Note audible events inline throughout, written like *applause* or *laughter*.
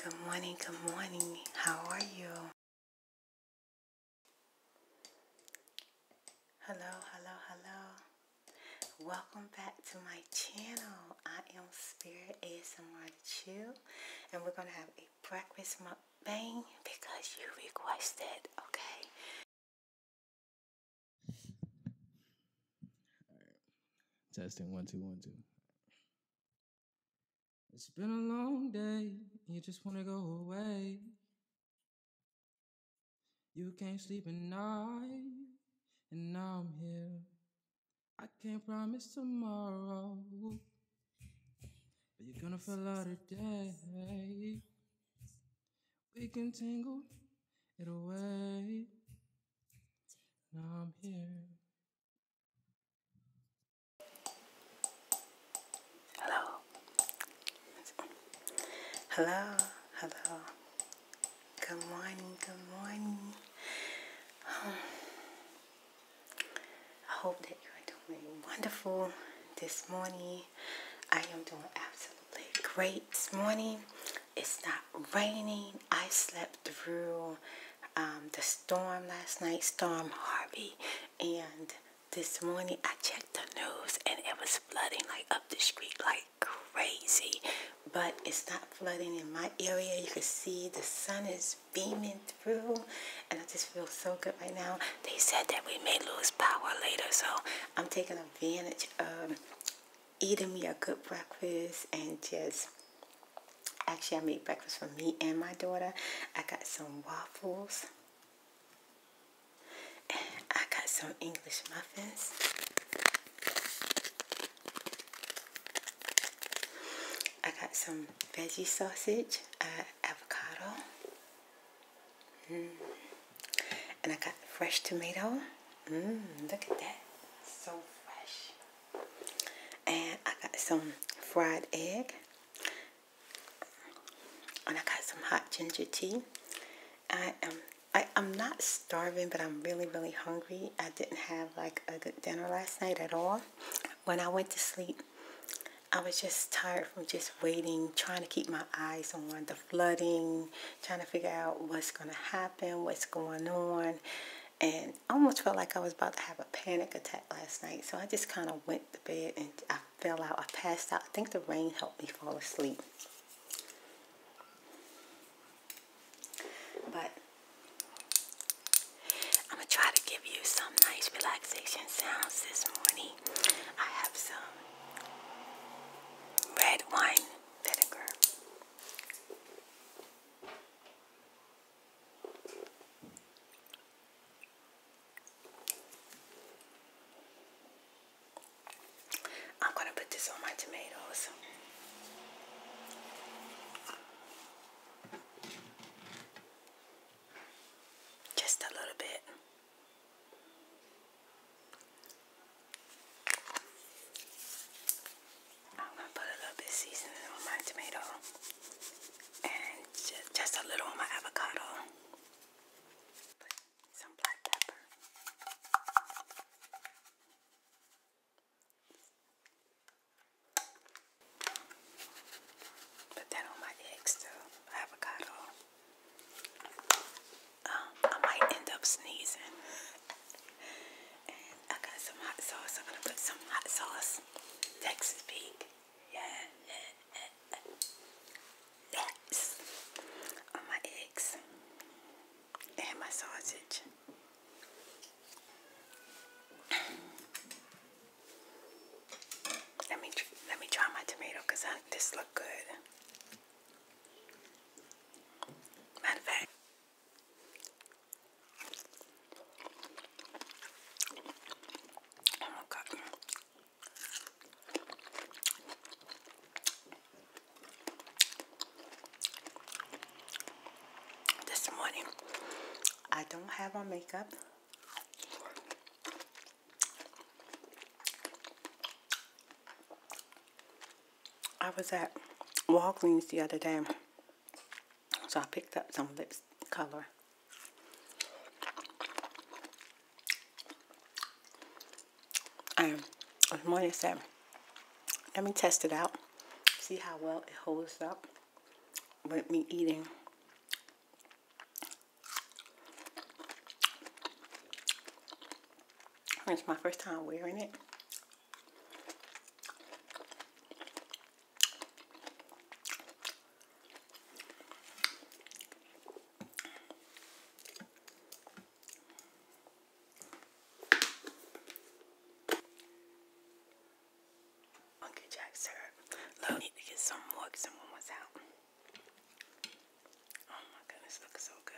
Good morning, good morning. How are you? Hello, hello, hello. Welcome back to my channel. I am Spirit ASMR Chill, and we're going to have a breakfast mukbang because you requested, okay? Right. Testing one two one two. It's been a long day. You just wanna go away. You can't sleep at night, and now I'm here. I can't promise tomorrow, but you're gonna feel out today. We can tangle it away. Now I'm here. Hello. Hello. Hello. Good morning. Good morning. Um, I hope that you are doing wonderful this morning. I am doing absolutely great this morning. It's not raining. I slept through um, the storm last night, Storm Harvey. And this morning I checked the news and it was flooding like up the street like crazy. But it's not flooding in my area. You can see the sun is beaming through and I just feel so good right now. They said that we may lose power later so I'm taking advantage of eating me a good breakfast and just actually I made breakfast for me and my daughter. I got some waffles. I got some English muffins. I got some veggie sausage, uh, avocado, mm. and I got fresh tomato. Mmm, look at that. So fresh. And I got some fried egg. And I got some hot ginger tea. I am I, I'm not starving, but I'm really, really hungry. I didn't have like a good dinner last night at all. When I went to sleep, I was just tired from just waiting, trying to keep my eyes on the flooding, trying to figure out what's going to happen, what's going on. And almost felt like I was about to have a panic attack last night. So I just kind of went to bed and I fell out. I passed out. I think the rain helped me fall asleep. But I'm going to try to give you some nice relaxation sounds this morning. I have some red wine vinegar I'm going to put this on my tomatoes. Just a little bit. I'm going to put a little bit of seasoning on my tomato and just, a little on my avocado. some black pepper. Put that on my eggs avocado. Um, I might end up sneezing. I got some hot sauce. I'm gonna put some hot sauce. Texas Pete. Yeah. on my eggs and my sausage. let me let me try my tomato because this look good. Matter of fact, this morning, I don't have on makeup. I was at Walgreens the other day, so I picked up some lip color. And this morning I let me test it out, see how well it holds up with me eating. It's my first time wearing it. Monkey Jack syrup. Look, need to get some more someone was out. Oh my goodness, looks so good.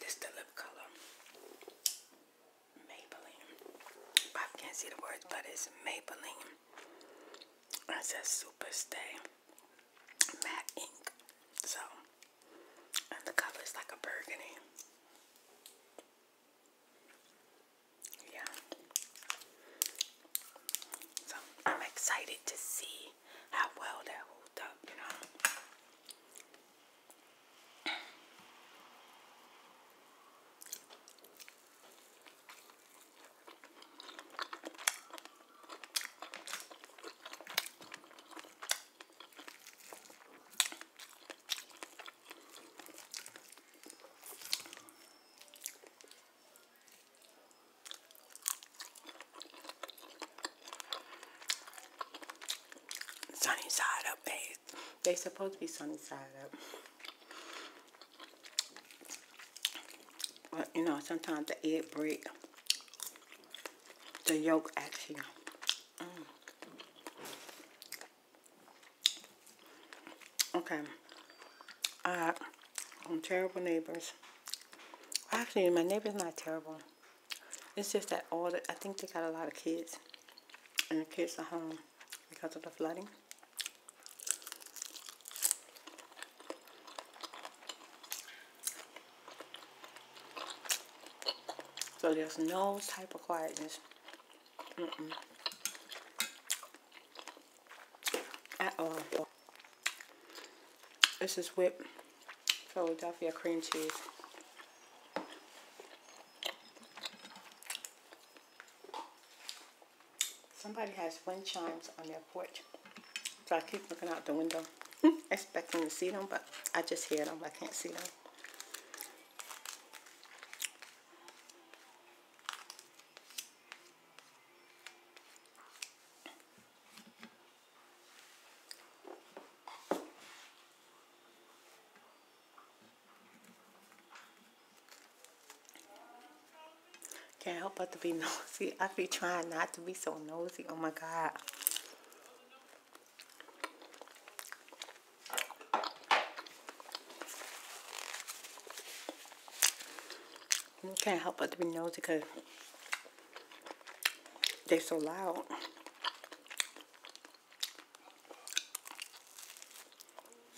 This is the lip color Maybelline. I can't see the words, but it's Maybelline. It says Super Stay Matte Ink. So, and the color is like a burgundy. Yeah. So, I'm excited to see how well that holds up, you know. Sunny side up, babe. They supposed to be sunny side up. But you know, sometimes the egg breaks. the yolk actually. Mm. Okay. Uh, I'm terrible neighbors. Actually, my neighbor's not terrible. It's just that all the, I think they got a lot of kids. And the kids are home because of the flooding. So there's no type of quietness. Mm -mm. At all. This is whipped Philadelphia cream cheese. Somebody has wind chimes on their porch. So I keep looking out the window, *laughs* expecting to see them, but I just hear them. I can't see them. Can't help but to be *laughs* nosy. I be trying not to be so nosy. Oh my God. Can't help but to be nosy because they're so loud.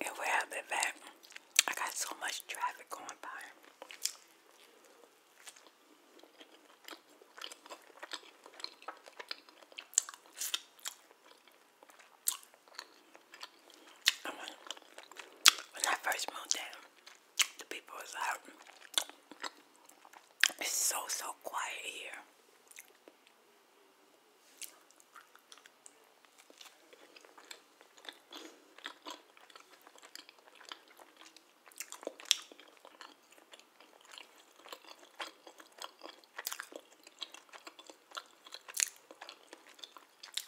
If we have it back, I got so much traffic going by. When I first moved down, the people is out. It's so, so quiet here.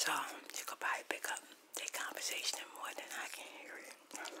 So you could probably pick up their conversation more than I can hear it.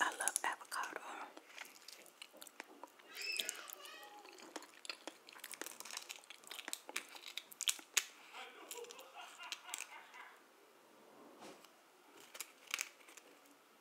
I love avocado.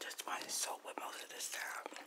Just want to soak with most of this time.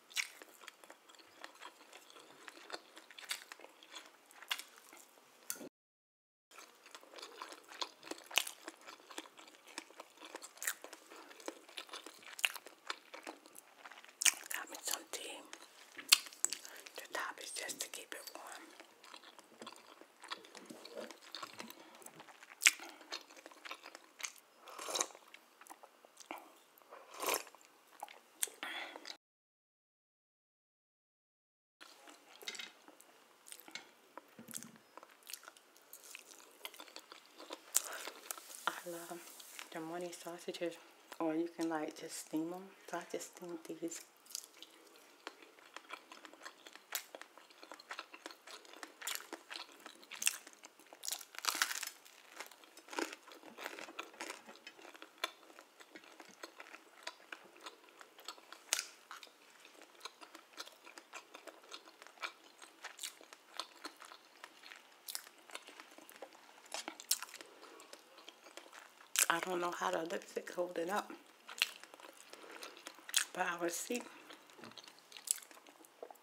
Got me some tea. The top is just to keep it warm. I love the morning sausages, or you can like just steam them. So I just steam these. I don't know how the lipstick holding up. But I will see.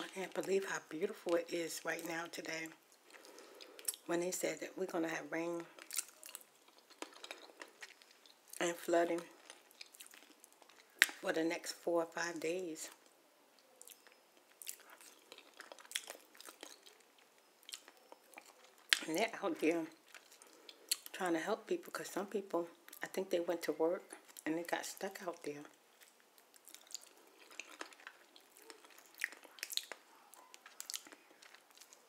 I can't believe how beautiful it is right now today. When they said that we're going to have rain and flooding for the next four or five days. And they're out there trying to help people because some people, I think they went to work and they got stuck out there.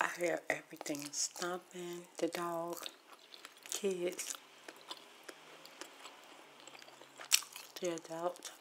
I hear everything stomping, the dog, kids, the adult.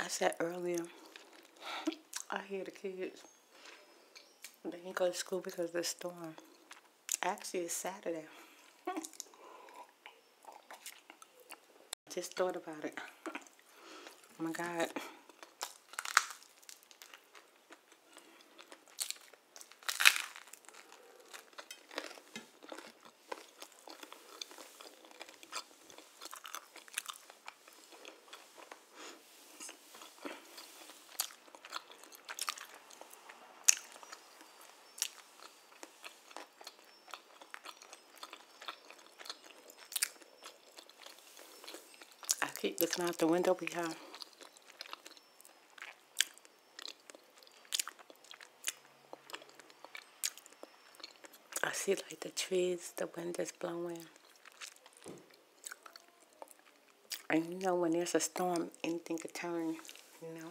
I said earlier, I hear the kids. They can not go to school because of the storm. Actually, it's Saturday. *laughs* Just thought about it. Oh my God. I keep looking out the window. behind. I see like the trees, the wind is blowing. And you know when there's a storm, anything could turn, you know.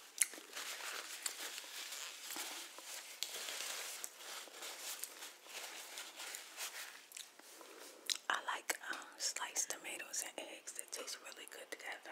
I like um, sliced tomatoes and eggs. They taste really good together.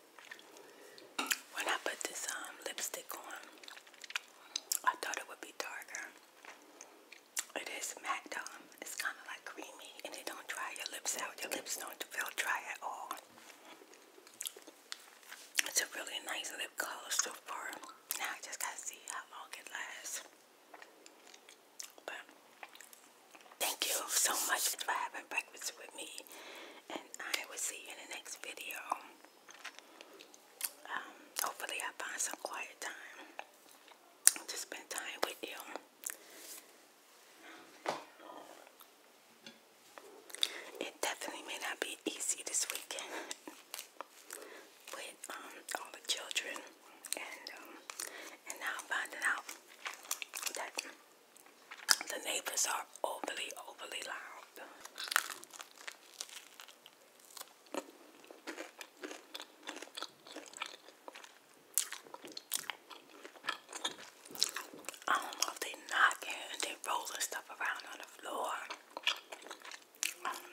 When I put this um, lipstick on, I thought it would be darker. It is matte um, It's kind of like creamy and it don't dry your lips out. Your lips don't feel dry at all. It's a really nice lip color so far. Now I just gotta see how long it lasts. But thank you so much for having breakfast with me. And I will see you in the next video. Um, hopefully I find some quiet time to spend time with you. It definitely may not be easy this weekend with um, all the children and um, and now finding out that the neighbors are overly, overly loud. I don't know if they knocking and they rolling stuff around on the floor. I don't know.